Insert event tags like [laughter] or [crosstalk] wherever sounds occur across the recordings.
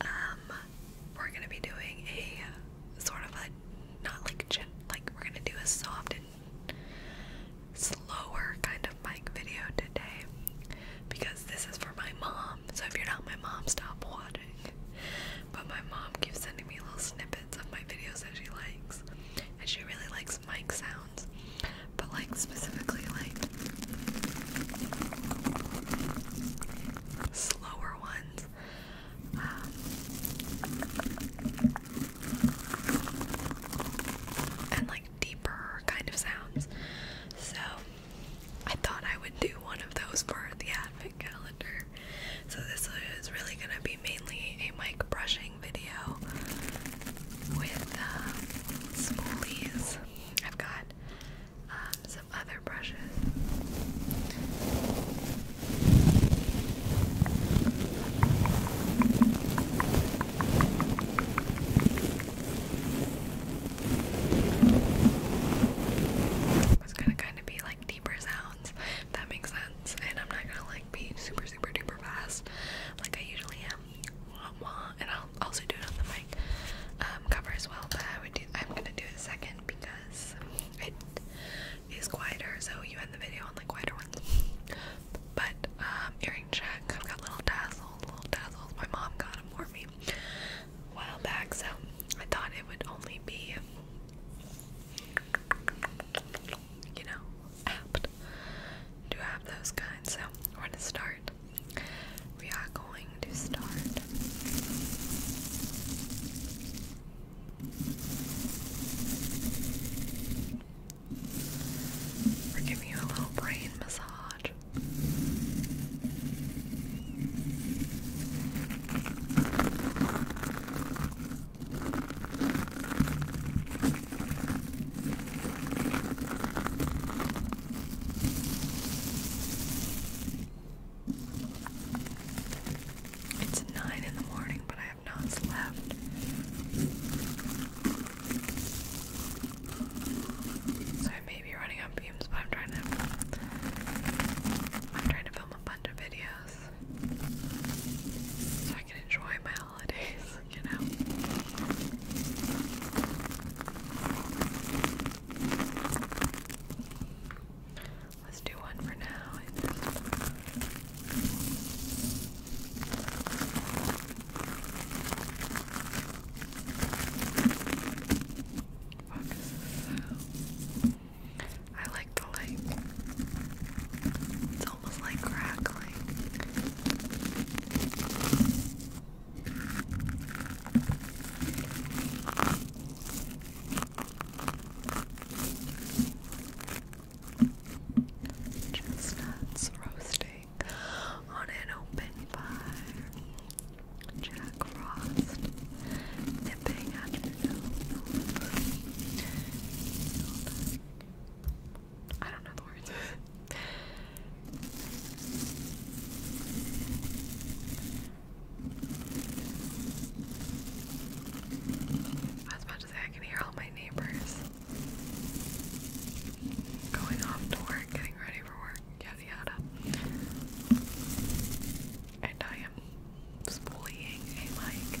Um, we're gonna be doing a sort of a not like like we're gonna do a soft and slower kind of mic video today because this is for my mom. So if you're not my mom, stop watching. But my mom keeps sending me little snippets of my videos that she likes, and she really likes mic sounds. But like specifically like slower ones. Um, and like deeper kind of sounds. So I thought I would do one of those for the advent calendar. So this is really going to be mainly a mic brushing video with uh, spoolies. I've got um, some other brushes. It's gonna kind of be like deeper sounds, that makes sense. And I'm not gonna like be super, super duper fast like I usually am. And I'll also do it on the um, cover as well. But I am gonna do it second because it is quieter. So you end the video on the quieter one. But um, earring check. I've got little tassels. Little tassels. My mom got them for me a while back. So I thought it would only be. You know, apt to have those kinds. So we're gonna start we are going to start we're giving you a little brain massage. It's nine in the morning, but I have not slept. So I may be running on beams, but I'm trying to I'm trying to film a bunch of videos so I can enjoy my holidays, [laughs] you know. Let's do one for now. I like the light. It's almost like crackling. Chestnuts roasting on an open fire. Jack Frost nipping at the nose. I don't know the I to say can hear all my neighbors going off to work, getting ready for work, yada yada. And I am spooling a mic.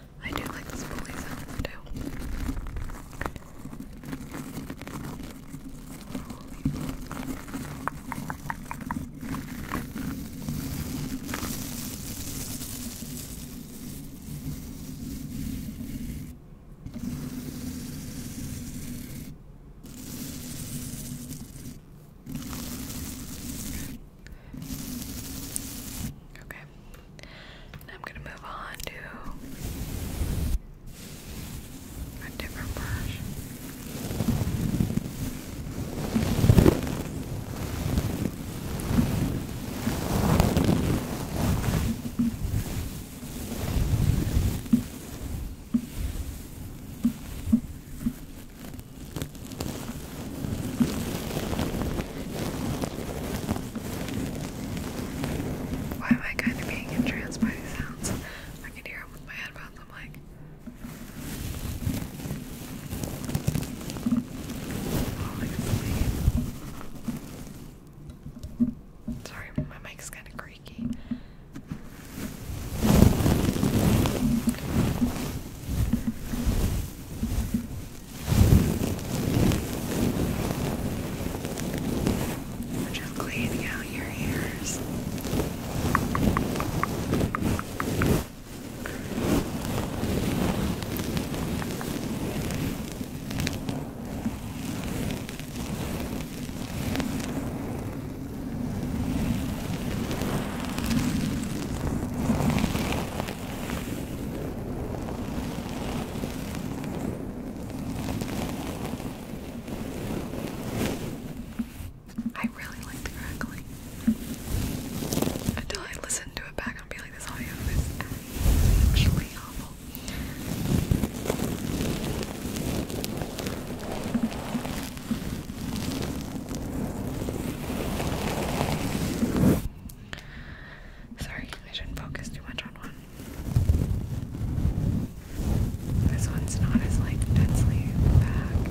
I do like this pulley sound too. Okay, I'm gonna move on to a different brush. Why am I kind of being entranced by these sounds? I can hear them with my headphones. I'm like, falling asleep. Sorry, my mic's kind of creaky. Just cleaning out your ears. Good. I really like the crackling. Until I listen to it back, I'll this audio is actually awful. Sorry, I shouldn't focus too much on one. This one's not as like densely packed.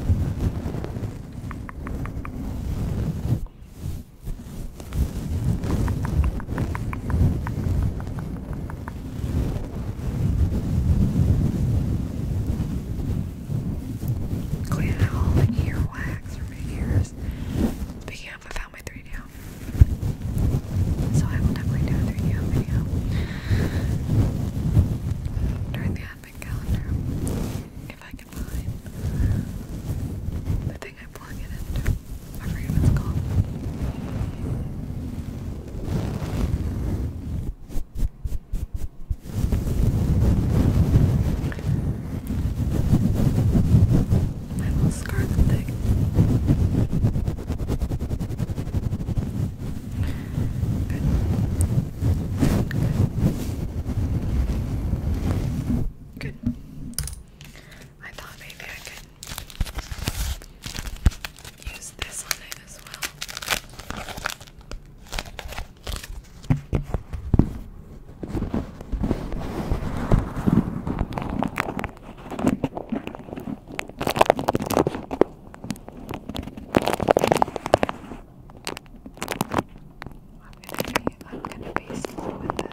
Clean out all the ear wax for my Speaking of, I found my 3D So I will definitely do 3D out during the advent calendar. If I can find the thing I plug it into. I forget it's called. My little scarf thing. Good. Good. Good. I thought maybe I could use this one as well. I'm gonna be slow with this.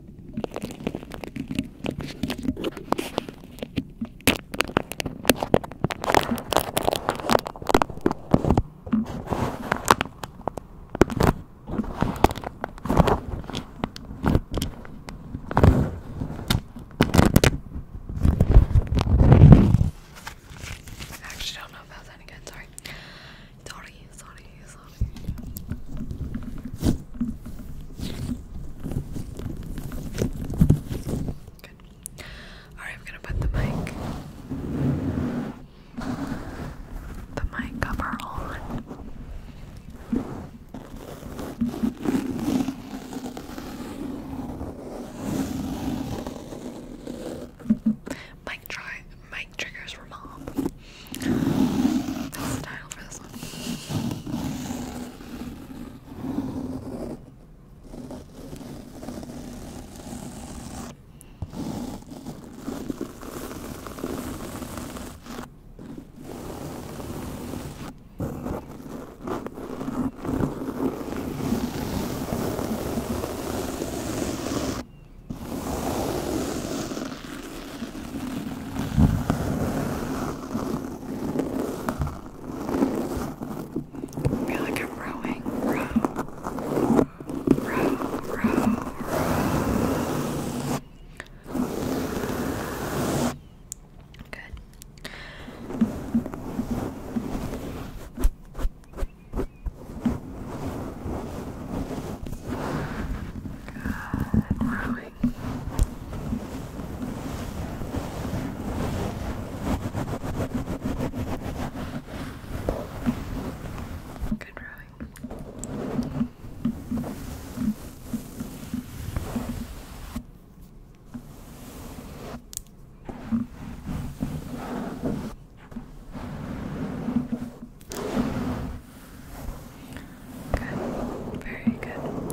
I actually don't know if that was any good, sorry. Sorry, sorry, sorry. Good. Alright, I'm gonna put the mic the mic cover on. Mike triggers for mom. That's the title for this one. I feel like I'm rowing, row, row, row, row. Good growing. Good growing. Good, very good. Okay.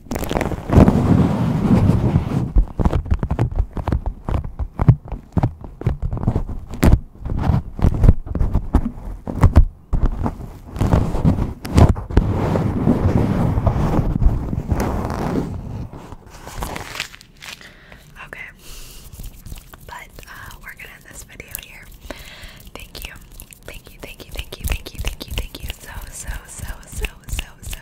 Okay, but uh, we're gonna end this video here. Thank you, thank you, thank you, thank you, thank you, thank you, thank you so, so, so, so, so,